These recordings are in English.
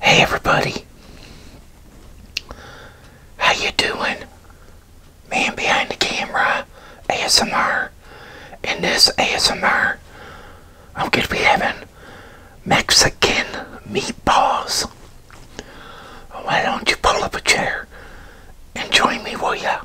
Hey everybody. How you doing? Man behind the camera ASMR. In this ASMR I'm gonna be having Mexican meatballs. Why don't you pull up a chair and join me, will ya?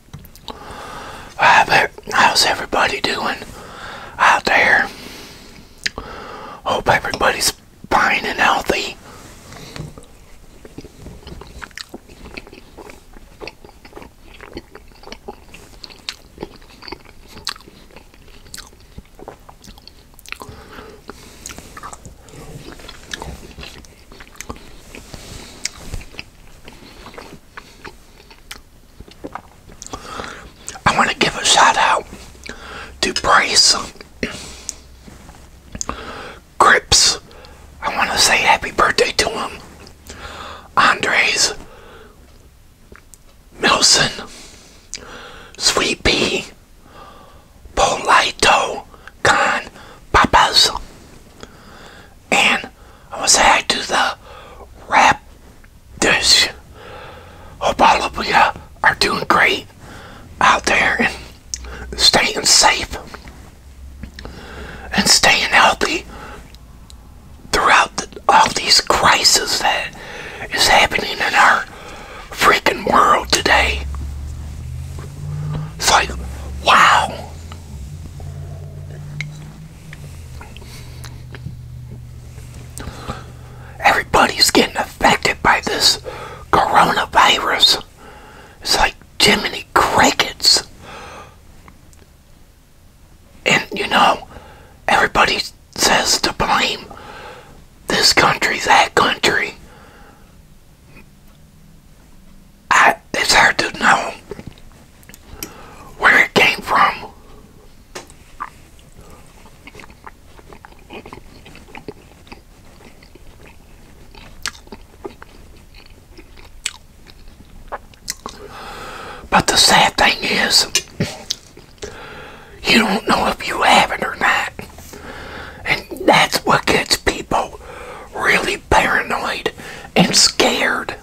Uh, but how's everybody doing out there? Hope everybody's fine and healthy. I want to give a shout out to Brace Crips. I want to say happy birthday to him. Andres Milson Sweet Pea Polito Con Papas and I want to say hi to the rap This Hope all of you are doing great out there and staying safe and staying healthy throughout all these crises that is happening in our freaking world today. It's like, wow. Everybody's getting affected by this coronavirus. It's like Jiminy Crickets. And you know, everybody says to blame this country, that country it's hard to know where it came from. But the sad thing is, you don't know if you have it or not. And that's what gets people really paranoid and scared.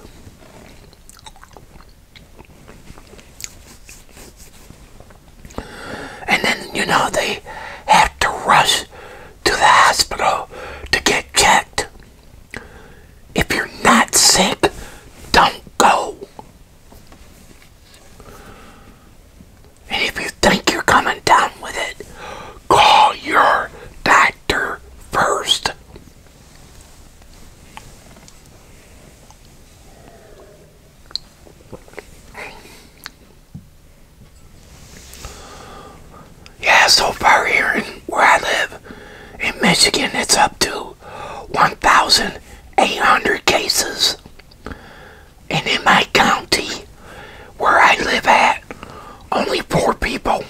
And then, you know, they have to rush to the hospital to get checked. If you're not sick, don't go. And if you think you're coming down with it, call your dad first. Yeah, so far here in where I live in Michigan, it's up to 1,800 cases. And in my county, where I live at, only four people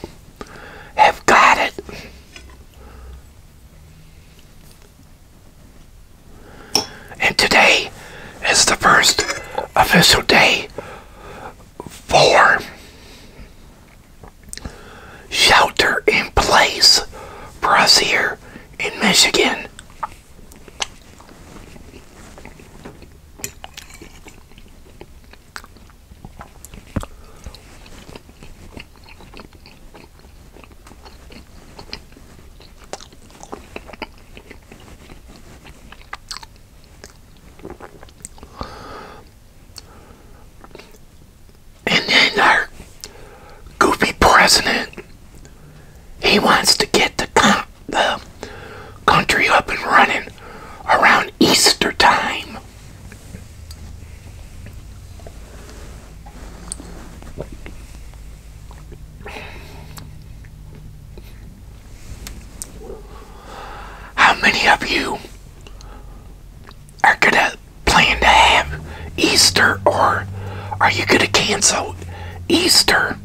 have got it. And today is the first official day for shelter in place for us here in Michigan. And then our goofy president, he wants to get the, the country up and running around Easter time. How many of you are going to plan to have Easter or are you going to cancel Easter?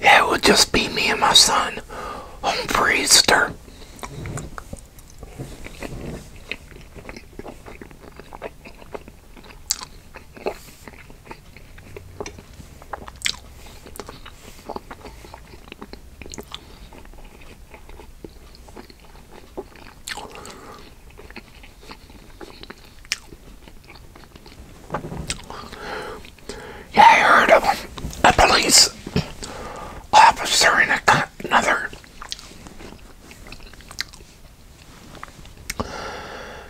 Yeah, it would just be me and my son home for yeah, I heard of A police officer and a, another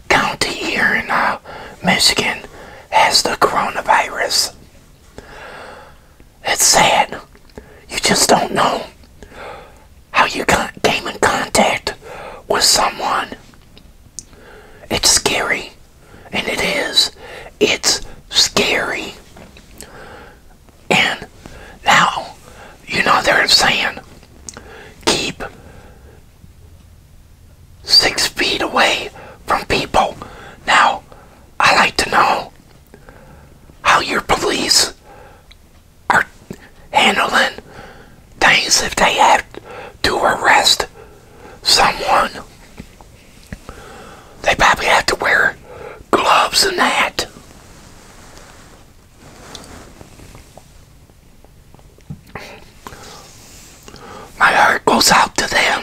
county here in uh, Michigan has the coronavirus. It's sad. You just don't know how you came in contact with someone. It's scary. And it is. It's scary. And now, you know, what they're saying keep six feet away from people. Now, I like to know how your police are handling things if they have to arrest someone. They probably have to wear gloves and that. My heart goes out to them.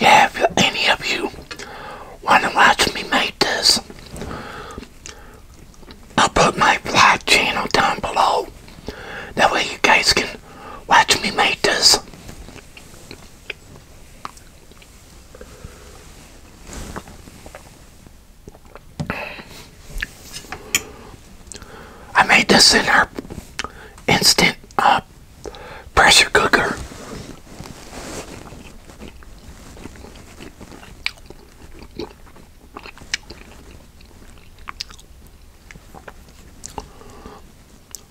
Yeah, if any of you want to watch me make this, I'll put my vlog channel down below. That way you guys can watch me make this. I made this in our instant uh, pressure cooker.